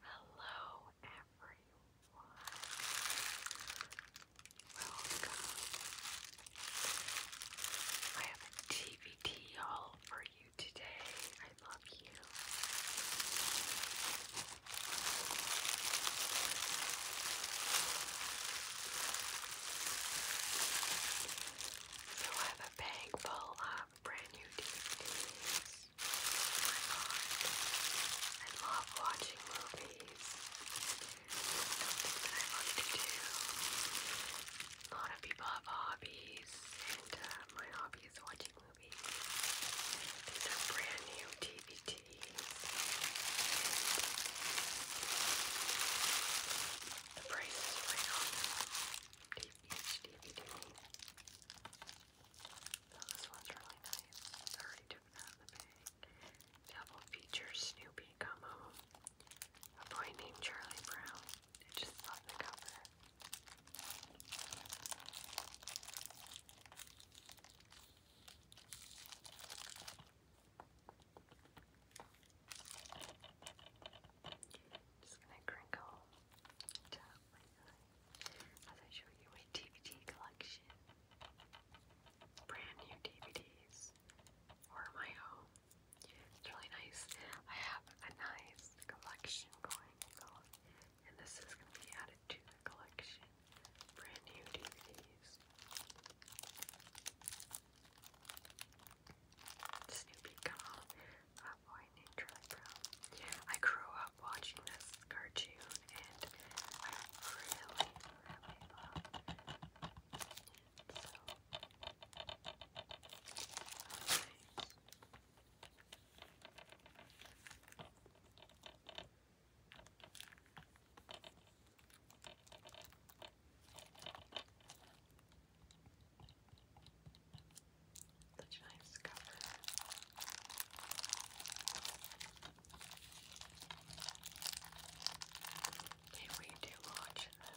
Hello, everyone. Welcome. I have a TBT haul for you today. I love you. I have a bag full of brand new DVDs. Oh my god. I love watching movies. Something that I love to do. A lot of people have hobbies, and uh, my hobby is watching movies movies. These are brand new DVDs. The price is right on DVD. Oh, this one's really nice. I already took it out of the bag. Double features Snoopy Come A boy named Charlie Brown. just love the cover. Just gonna crinkle down my as I show you my DVD collection. Brand new DVDs or my own. It's really nice. I have a nice collection going and this is gonna be out added to the collection. Brand new DVDs. Snoopy Cobb, a boy named Charlie I grew up watching this cartoon and I really, really love it. So, such a nice cover. They way too much this.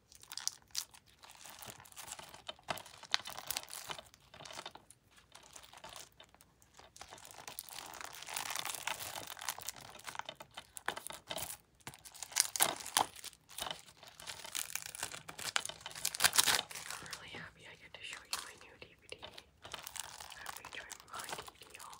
I'm really happy I get to show you my new DVD. I'm featuring my DVD haul.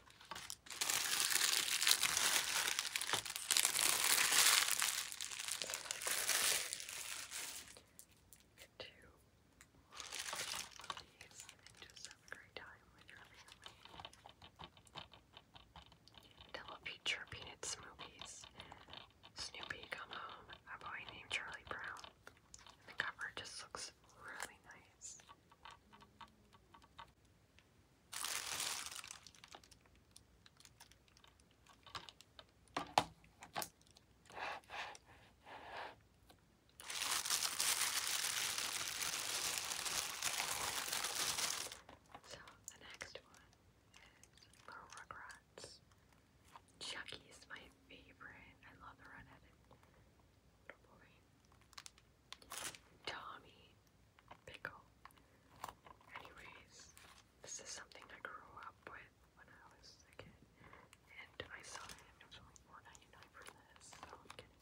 Two of these and just have a great time with your family. Double feature peanut smoothies. Snoopy come home, a boy named Charlie Brown. the cover just looks really nice. So the next one is Little Rugrats. Chucky's my favorite. I love the redheaded boy. Tommy Pickle. Anyways, this is something I grew up with when I was a kid, and I saw it. was only four ninety nine for this, so I'm kidding.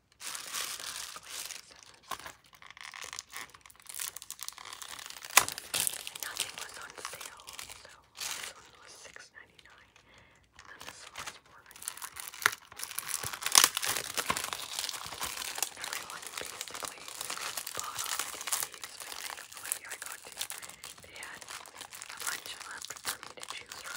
And nothing was on sale, so this one was $6.99, and then this one is $4.99. Everyone basically bought all the DVDs, but I don't know what year I got to. They had a bunch left for me to choose from.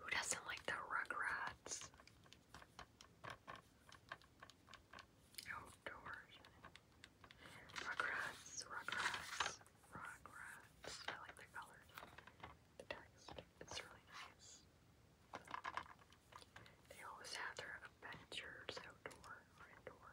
Who doesn't like the Rugrats? outdoors. Rugrats, Rugrats, Rugrats. I like the colors, the text. It's really nice. They always have their adventures outdoor or indoor.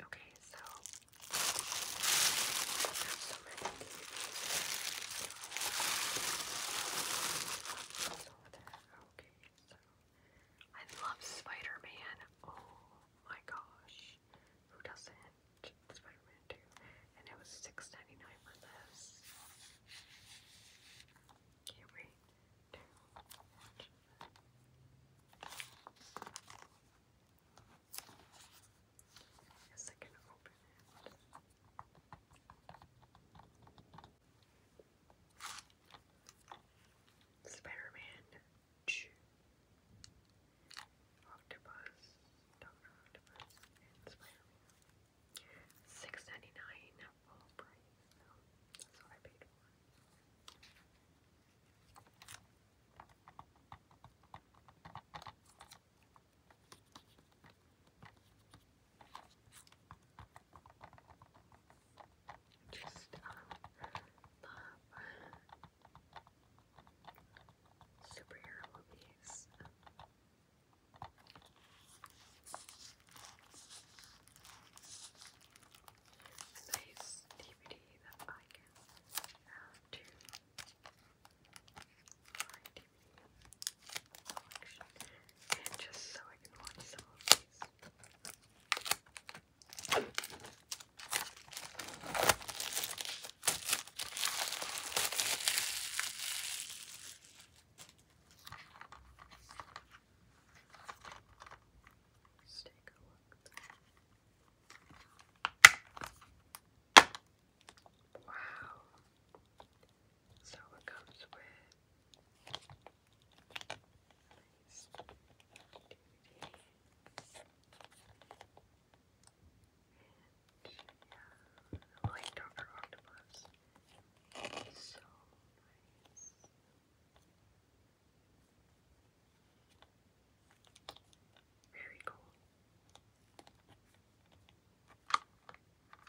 Okay, so I love Spider-Man. Oh my gosh. Who doesn't? Spider-Man 2. And it was 6 for this. Can't wait I guess I can open it. spider Doctor Octopus, and ninety nine that's what I paid for. Just um, love superhero movies. nice DVD that I can add to my DVD collection, and just so I can watch some of Let's take a look. Wow. So it comes with nice DVD. And I like Dr. Octopus. so nice. Very cool. Very nice.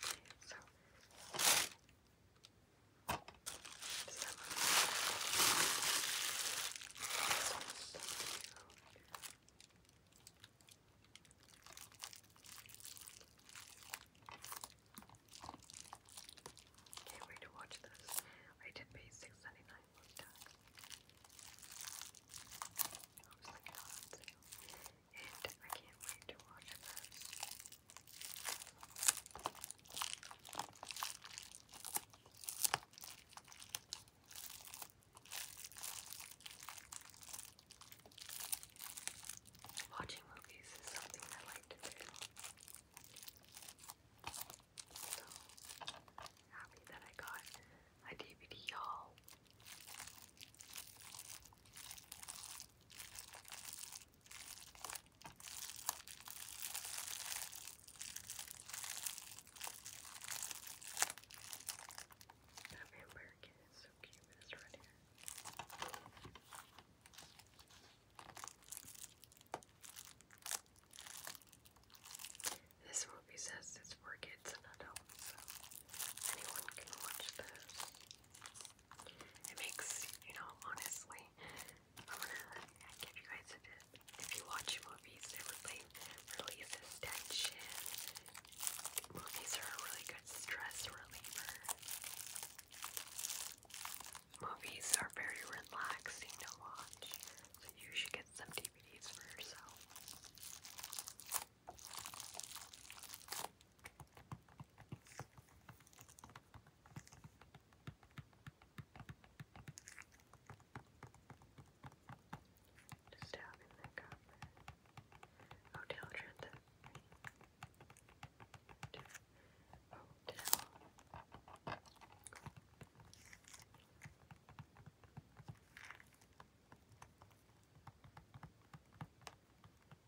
Okay, so can't wait to watch this. I did pay six ninety nine plus tax. I not on sale and I can't wait to watch this. Watching movies is something I like to do. So happy that I got a DVD, you that vampire kid is so cute This movie says it's for kids and adults, so anyone can watch this. It makes, you know, honestly, I'm gonna give you guys a tip. If you watch movies, it really releases tension. Movies are a really good stress reliever. Movies are very relaxing to watch, so you should get some DVDs for yourself. Just having that copper. Oh, Hotel Trenta. Hotel. Hotel Let's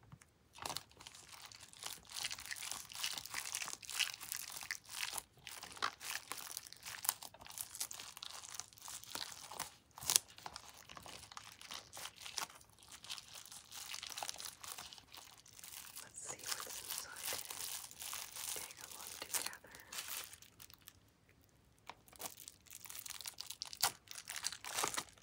see what's inside. Take a look together. Wow.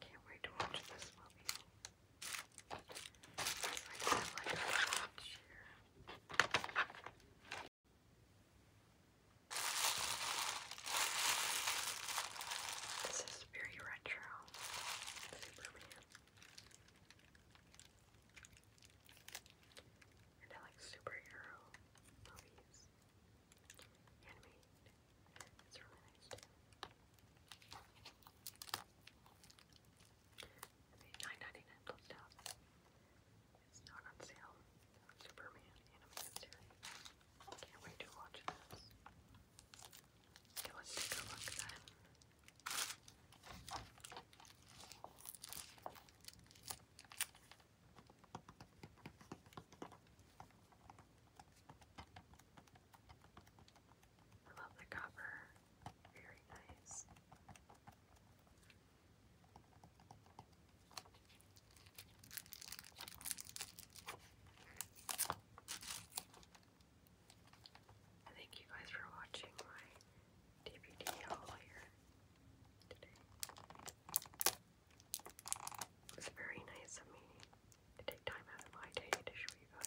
Can't wait to watch this movie. I have like a watch here. This is very retro. Superman. I like superhero movies handmade. It's dollars It's not on sale. Superman animated series. Can't wait to watch this. let's take a look then. I love the cover, very nice. thank you guys for watching my DVD haul here today. It's very nice of me to take time out of my day to show you guys.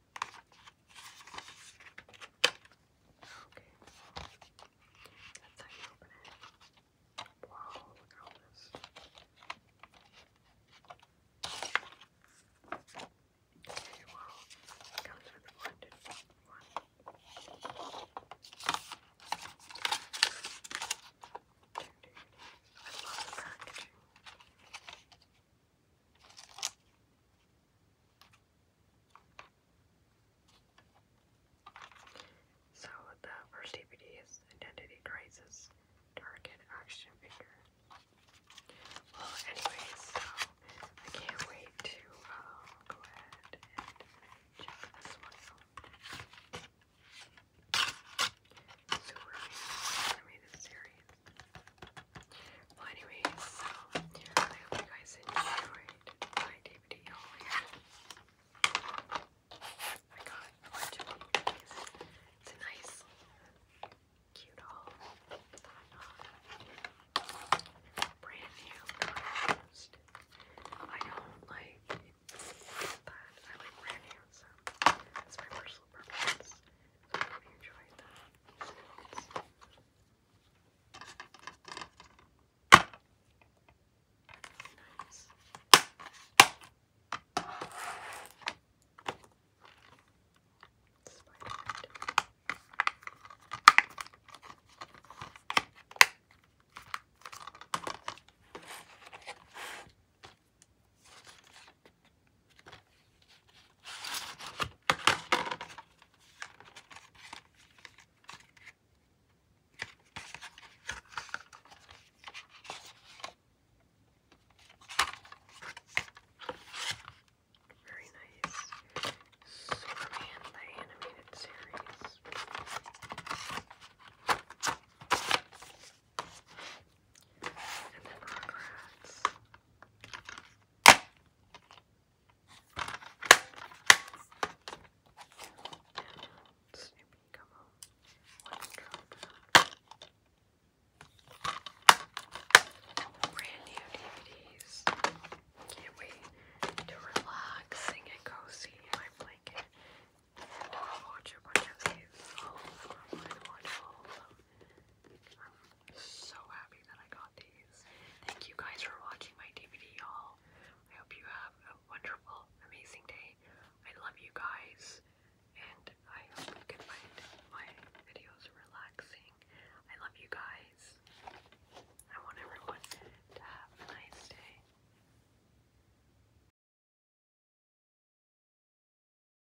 Okay. That's how you open it. Wow, look at all this. Okay, wow. comes with a blended one. I so the first DVD is Identity Crisis Target Action Figure. Well, anyways, so I can't wait to um, go ahead and check this one out. Super so animated series. Well, anyways, so I hope you guys enjoyed my DVD oh, I got a of DVDs. It's a nice, cute haul. Um, brand new, not I don't like that. I like brand new, so that's my personal preference. I hope you enjoyed that. Sounds. Nice. Spider very nice. Superman the animated series. And then Rugrats. Snoopy, come home. Brand new DVDs. Can't wait to relax and cozy in my blanket and watch a bunch of these. Oh, so happy that I got these. Thank you guys for watching my DVD, y'all. I hope you have a wonderful, amazing day. I love you guys, and I hope you can find my videos relaxing. I love you guys. I want everyone to have a nice day.